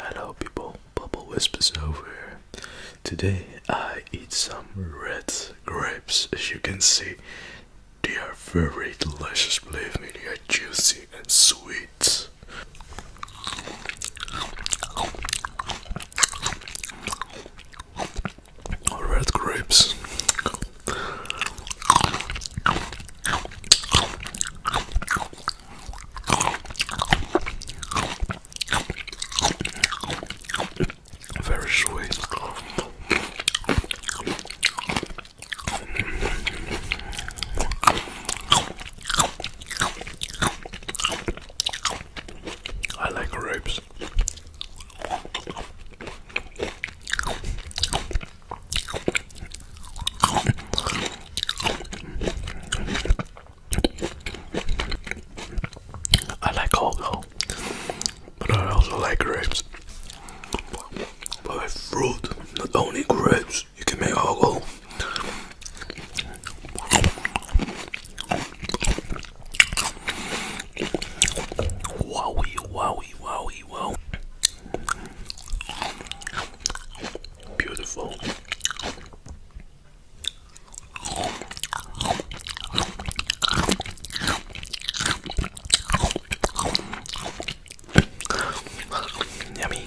Hello people, Bubble Wisp is over. Today I eat some red grapes. As you can see, they are very delicious, believe me, they are juicy and sweet. Red grapes. Very sweet. I like grapes. I like cocoa, but I also like grapes. But with fruit, not only grapes, you can make alcohol. Wowie, wowie, wowie, wow. Beautiful. Yummy.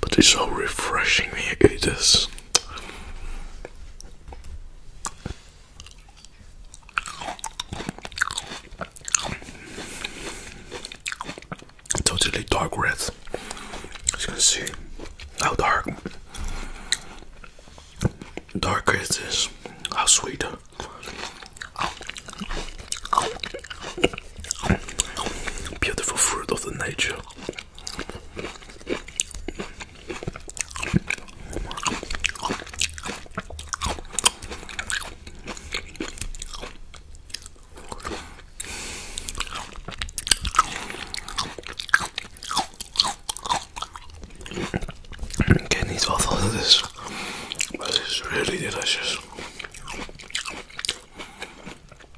But it's so refreshing here. it is. Totally dark red. As you can see how dark darker it is, how sweet. Beautiful fruit of the nature. Can eat both of this, but it's really delicious.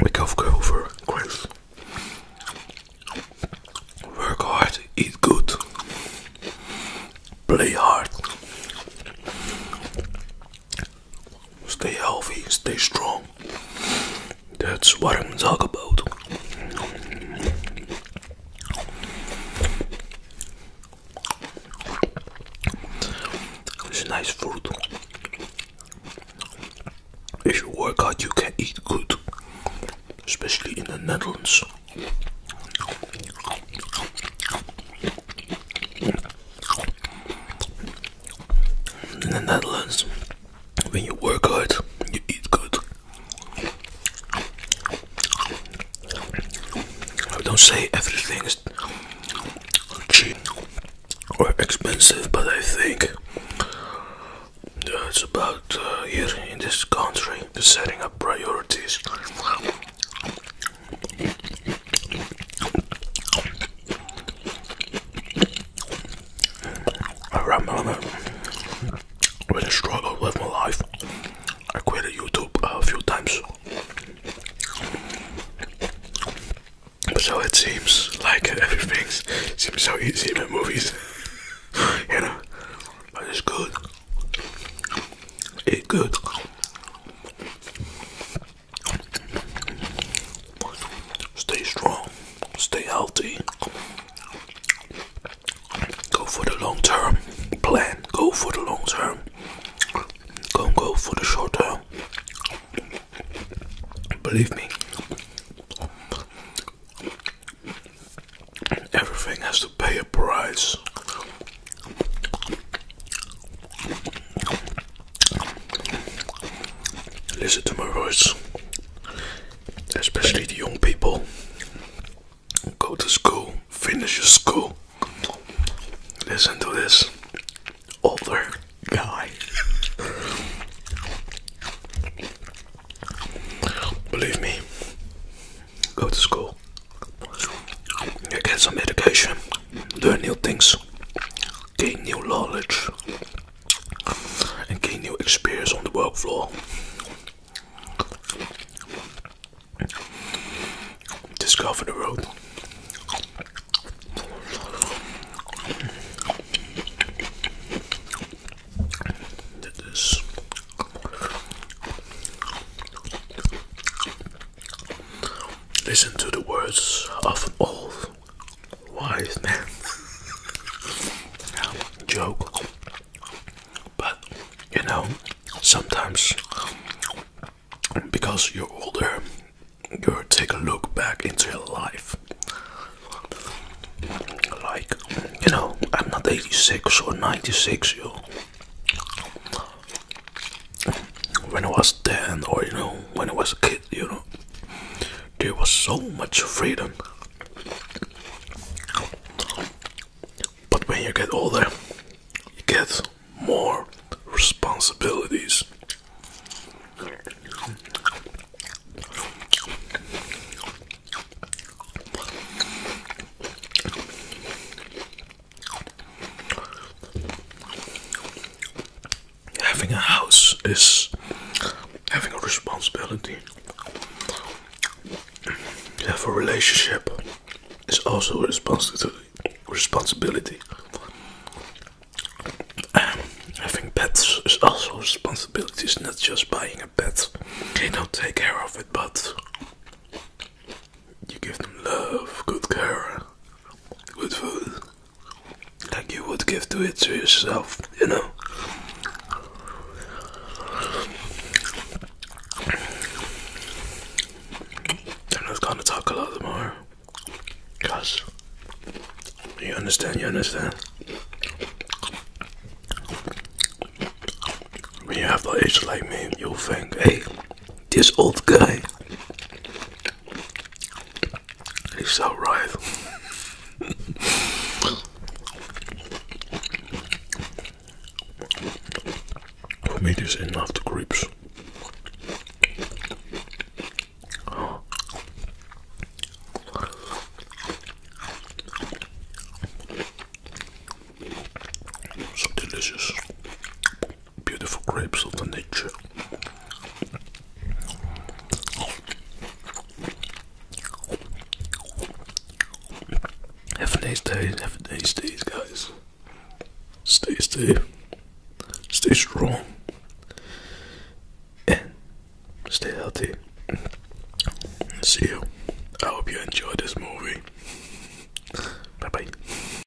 We gotta for Chris. Work hard, eat good, play hard, stay healthy, stay strong. That's what I'm talking about. It's nice food. If you work out, you can eat good, especially in the Netherlands. In the Netherlands, when you work hard, you eat good. I don't say everything is cheap or expensive, but I think it's about uh, here in this country setting up priorities. I remember when I struggled with my life. I quit YouTube a few times. So it seems like everything seems so easy in movies. you know? But it's good. It's good. Stay strong, stay healthy. Go for the long term plan, go for the long term. Don't go for the short term. Believe me, everything has to pay a price. Listen to my voice, especially the young people. Go to school, finish your school. Listen to this older guy. Believe me, go to school, get some education, learn new things, gain new knowledge and gain new experience on the work floor. Discover the road. Listen to the words of all wise man joke, but you know, sometimes because you're older, you take a look back into your life. Like, you know, I'm not 86 or 96, you when I was 10 or you know when I was a kid you know there was so much freedom but when you get older you get more responsibilities having a house is having a responsibility. You have a relationship is also a responsibility. Um, having pets is also a responsibility. It's not just buying a pet. you don't take care of it, but you give them love, good care, good food like you would give to it to yourself, you know. I'm gonna talk a lot more, cause you understand, you understand. When you have the age like me, you think, hey, this old guy. He's so right. For me, this is enough to grips. So delicious beautiful grapes of the nature. Have a nice day, have a nice day, guys. Stay safe, stay strong, and stay healthy. See you. I hope you enjoyed this movie. Bye bye.